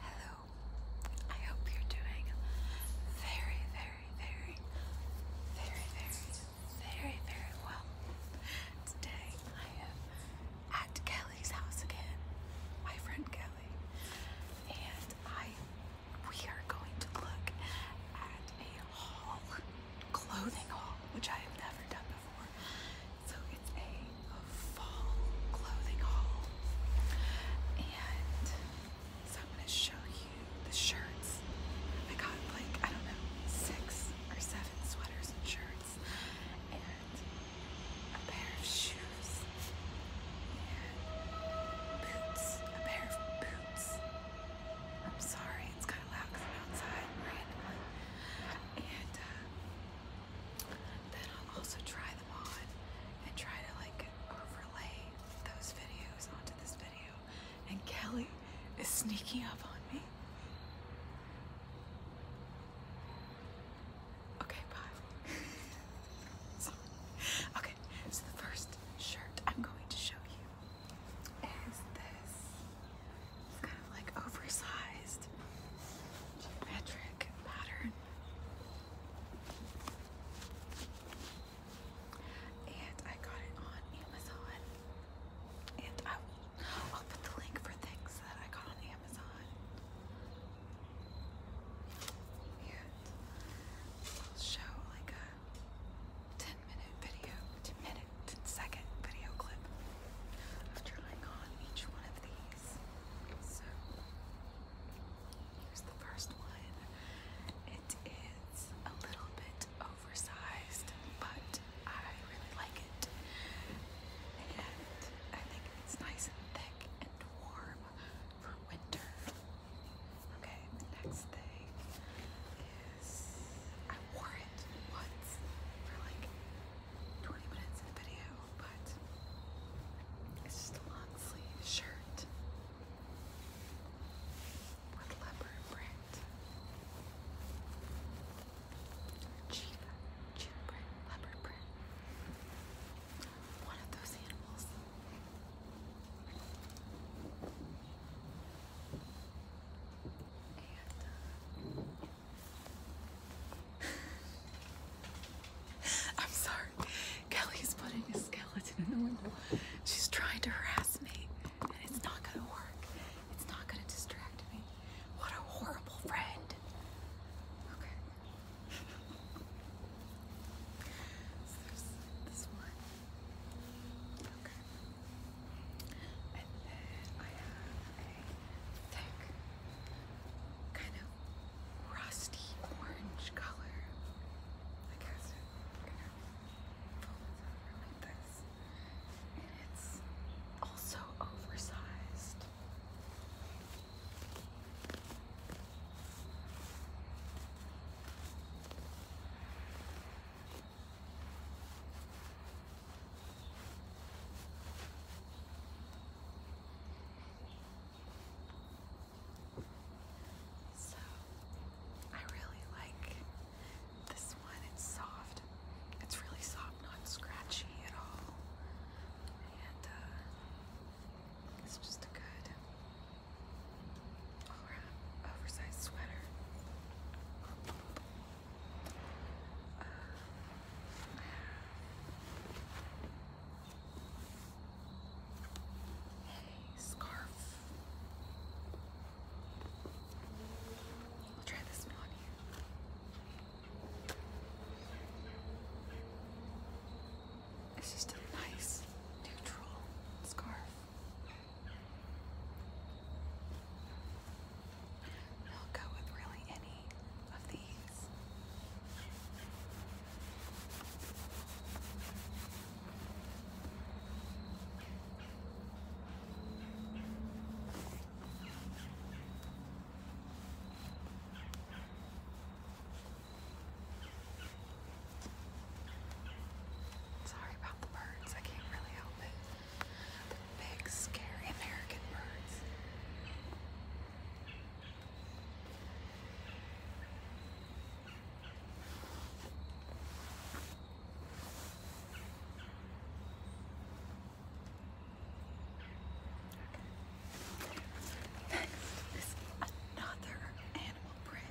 Hello. I hope you're doing very, very, very, very, very, very, very well. Today I am at Kelly's house again, my friend Kelly, and I we are going to look at a haul, clothing haul, which I have never done before. So it's a, fall clothing haul. And so I'm going to show you the shirts. I got like, I don't know, six or seven sweaters and shirts. And a pair of shoes. And boots. A pair of boots. I'm sorry, it's kind of loud from outside And uh, then I'll also try them on and try to like overlay those videos onto this video. And Kelly is sneaking up on me. Okay, bye. Okay, so the first shirt I'm going to show you is this. It's kind of like oversized geometric geometric pattern. And I got it on Amazon. And I will, put the link for things that I got on Amazon. And I'll show like a 10 minute video, 10 minute, 10 second video clip of trying on each one of these. So here's the first one. It is a little bit oversized, but I really like it. And I think it's nice and thick and warm for winter. Okay, the next thing is I wore it once for like 20 minutes in the video, but it's just a long sleeve shirt with leopard print, cheap, cheap print, leopard print. One of those animals. Uh, I'm sorry. Kelly's putting a skeleton in the window. She's trying to harass me, and it's not gonna work. It's not gonna distract me. What a horrible friend. Okay very thick, kind of rusty orange color. I guess I'm like this. And it's also oversized. So I really like this one. It's soft. It's really soft, not scratchy at all. And uh, it's just a good all oversized sweater. Hey, scarf. I'll try this one on It's just a nice neutral scarf. I'll go with really any of these. Sorry about the birds, I can't really help it. The big, scary American birds. Okay. Next is another animal print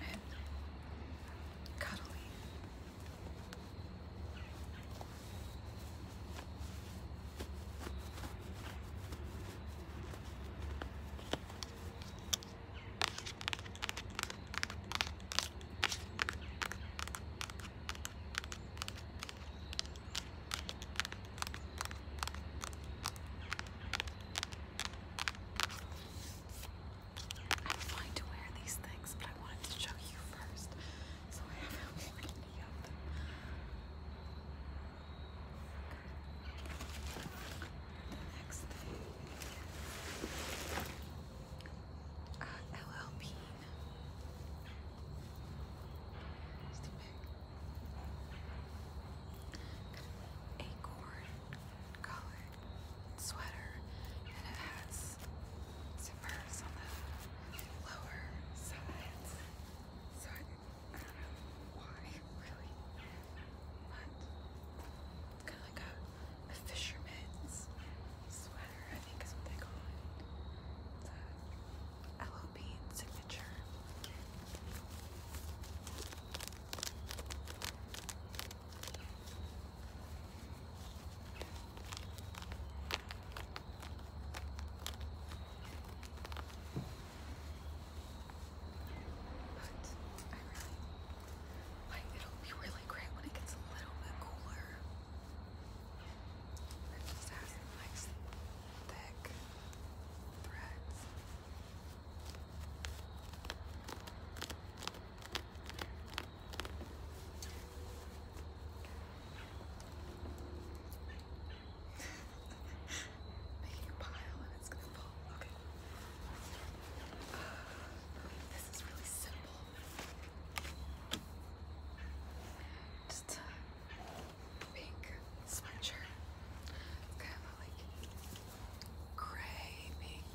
and cuddly. I'm fine to wear these things, but I wanted to show you first, so I haven't worn any of them. next uh, LLP Stay acorn colored sweater, and it has zippers on the lower sides. So I, don't know why, really, but kind of like a, a fisherman's sweater, I think is what they call it. LOP signature. But I really like it'll be really great when it gets a little bit cooler. It just has nice thick threads. Making a pile and it's gonna fall. Okay. this is really simple. Just pink sweatshirt. It's kind of like gray pink.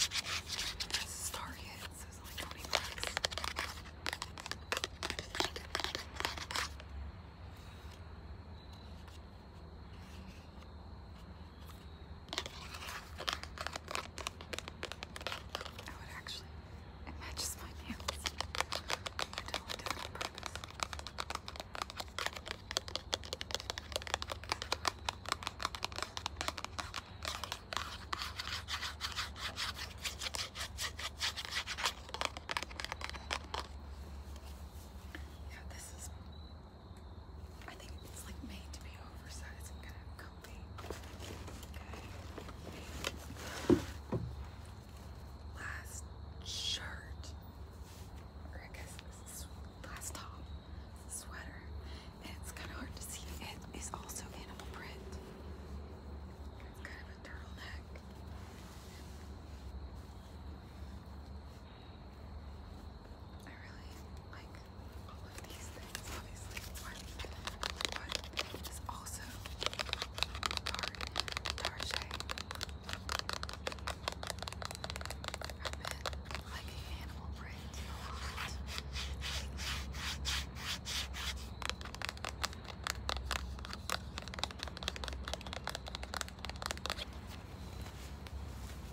This is Target, so it's only 20 bucks. I would actually, it matches my nails. Yeah, this is. I think it's like made to be oversized and gonna Last shirt. I guess last top. Sweater. it's kind of hard to see. It is also animal print. It's kind of a turtleneck. I really like all of these things, obviously, but what is also Tarte Tarche. I've been liking animal prints a lot.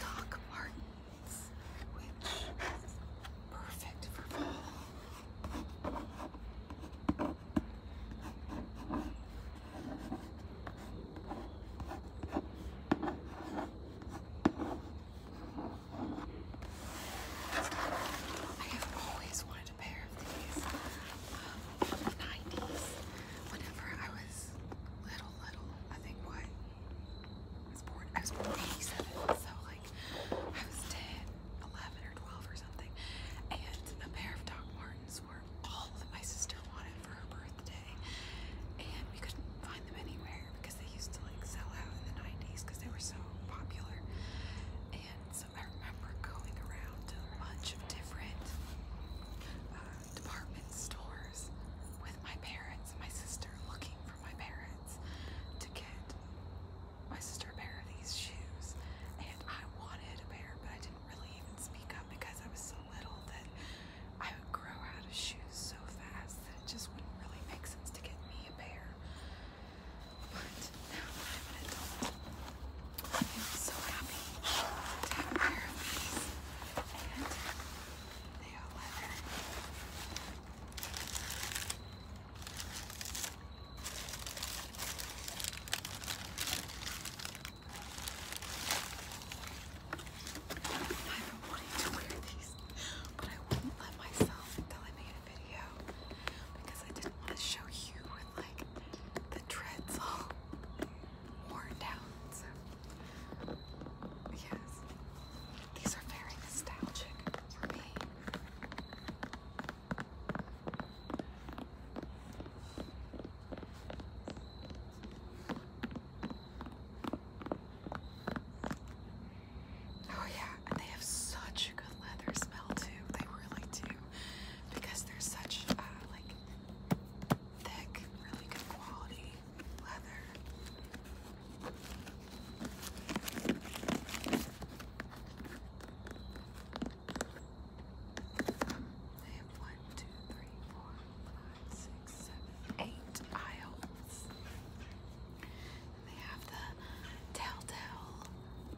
Doc Martens, which perfect for fall. I have always wanted a pair of these 90s. Um, whenever I was little, so little. I think what I was born in 87, so like I was 10, 11 or 12 or something. And a pair of Doc Martens were all that my sister wanted for her birthday. And we couldn't find them anywhere because they used to like sell out in the 90s because they were so popular. And so I remember going around to a bunch of different uh, department stores with my parents my sister looking for my parents to get my sister a pair of these shoes. And I wanted a pair, but I didn't really even speak up because I was so little that I would grow out of shoes so fast that it just wouldn't really make sense to get me a pair. But now I'm an adult, I'm so happy to have a these. And they are leather. I've been wanting to wear these, but I wouldn't let myself until I made a video because I didn't want to show you with like the dreads all worn down. yes, these are very nostalgic for me. Oh yeah, and they have such a good leather smell too. They really do, because they're such uh, like thick, really good They have one, two, three, four, five, six, seven, eight aisles. they have the Telltale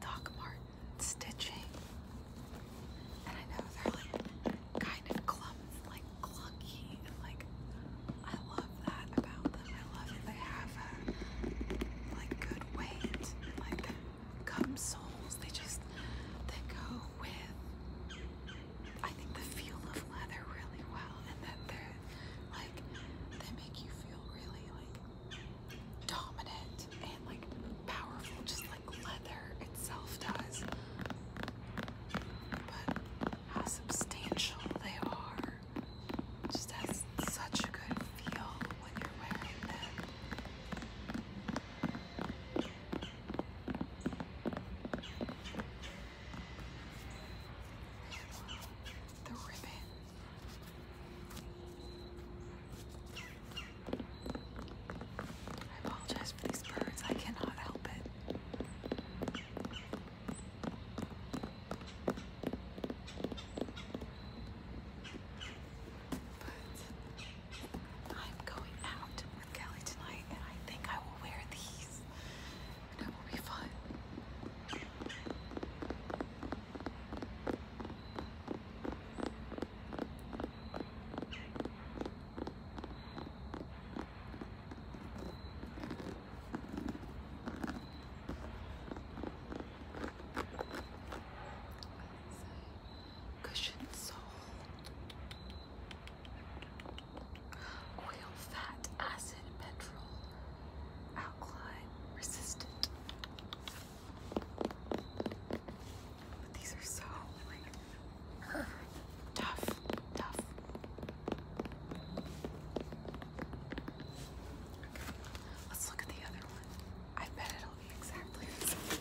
Doc Martin stitching and I know they're like kind of clumps, like clunky, like I love that about them. I love that they have like good weight, like gum soles. They just they go with I think the feel of leather really well, and that they're like they make you feel really like dominant and like powerful, just like leather itself does. But how substantial they are. Just has such a good feel when you're wearing them. The ribbon. I apologize for these birds. I cannot help it. But I'm going out with Kelly tonight, and I think I will wear these. And will be fun. Cushion sole, oil, fat, acid, petrol, alkaline, resistant these are so like tough, tough. let's look at the other one. I bet it'll be exactly the same.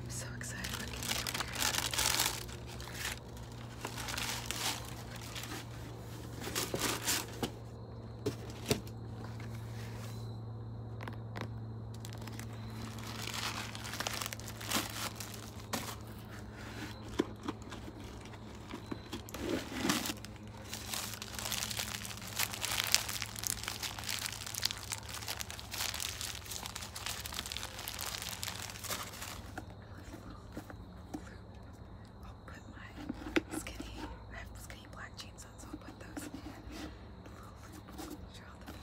I'm so excited when he I'll put my skinny, I have skinny black jeans on, so I'll put those in. Blue, sure the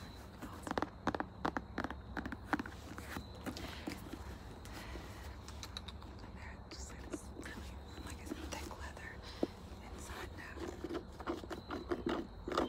They're just like this really, like a thick leather inside now.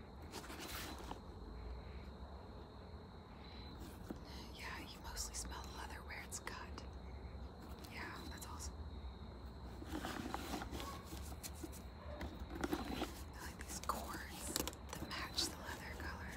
Yeah, you mostly smell leather where it's cut. Yeah, that's awesome. I like these cords that match the leather color.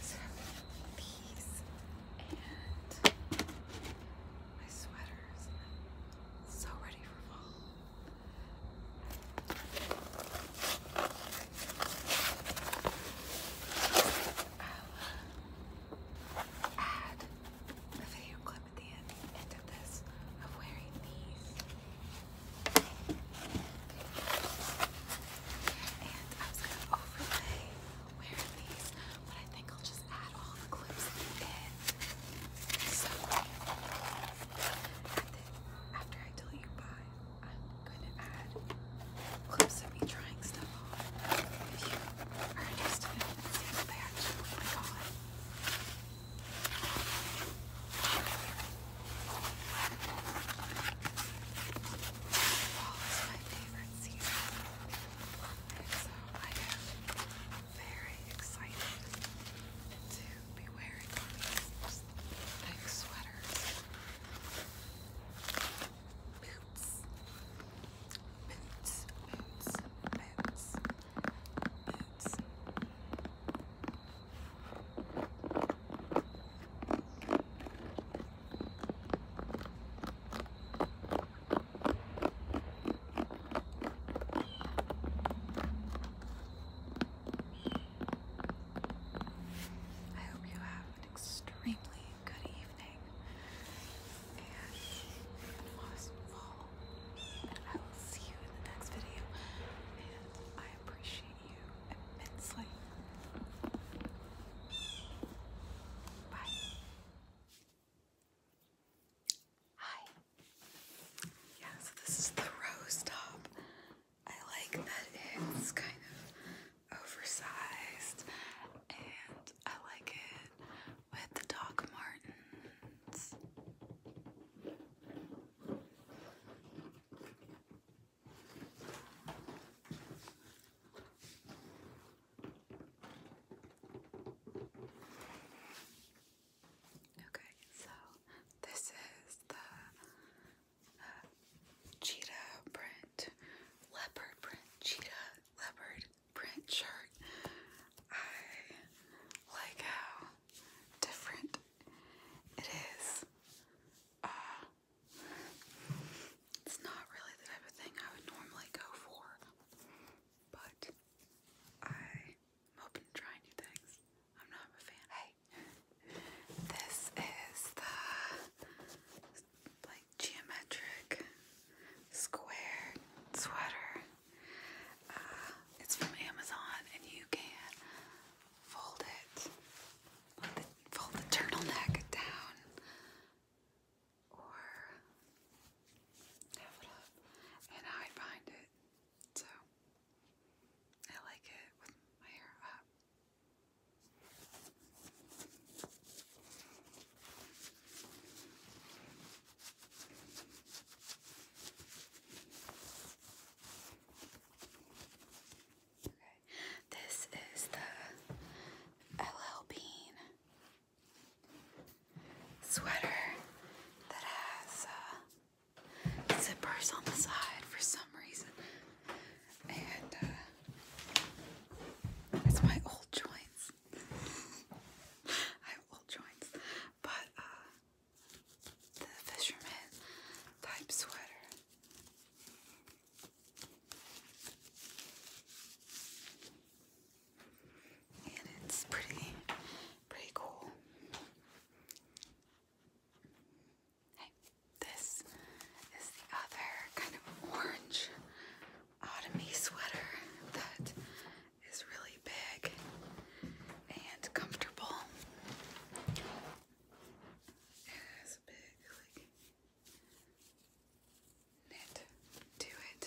So these and my sweaters. So ready for fall. add a video clip I'm at the end, of this of wearing these. And I was going to overlay wearing these, but I think I'll just add all the clips in. So, after I tell you bye, I'm going to add clips of me trying stuff on. If you are interested in seeing what they actually look like on. Fall is my favorite season, so I am very excited to be wearing sweaters, boots, boots, boots, boots. I hope you have an extremely good evening and an I will see you in the next video. And I appreciate you immensely. Bye. Hi. Yeah, so this is the rose top. I like that it's kind of oversized and I like it with the Doc Martens. Okay, so this is the uh, cheetah print, leopard print, cheetah leopard print shirt. I like how different it is. Uh, it's not really the type of thing I would normally go for, but I, am open to trying new things. I'm not a fan. Hey, this is the like geometric square sweater. Uh, it's from Amazon, and you can fold it, fold the turtleneck down, or have it up and hide behind it. So I like it with my hair up. This is the LL Bean sweater that has uh, zippers on the side for some reason. And uh, it's my old joints. I have old joints. But uh, the fisherman type sweater. And it's pretty pretty cool. Hey, this is the other kind of orange autumny sweater that is really big and comfortable. It big like knit to it.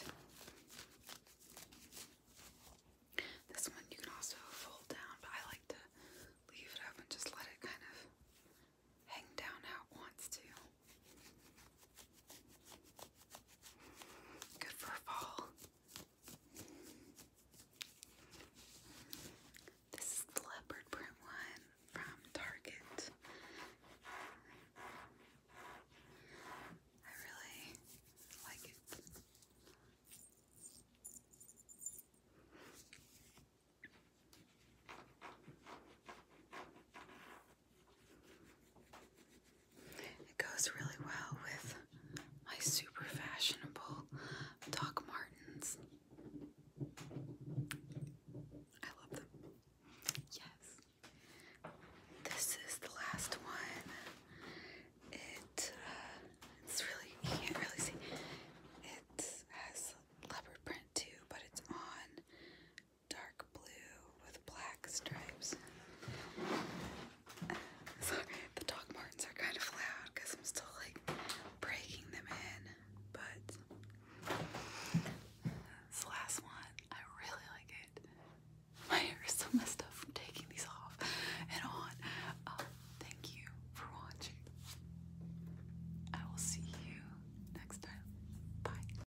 This one you can also fold down, but I like to leave it up and just let it kind of hang down how it wants to. Good for fall. This is the leopard print one from Target. I really like it. It goes really well with my super fashionable Doc Martens. I love them. Yes. This is the last one. It, uh, it's really, you can't really see. It has leopard print too, but it's on dark blue with black stripes. sorry, the Doc Martens are kind of loud because I'm still like breaking them in, but this last one, I really like it. My hair is so messed up from taking these off and on. Um, thank you for watching. I will see you next time. Bye.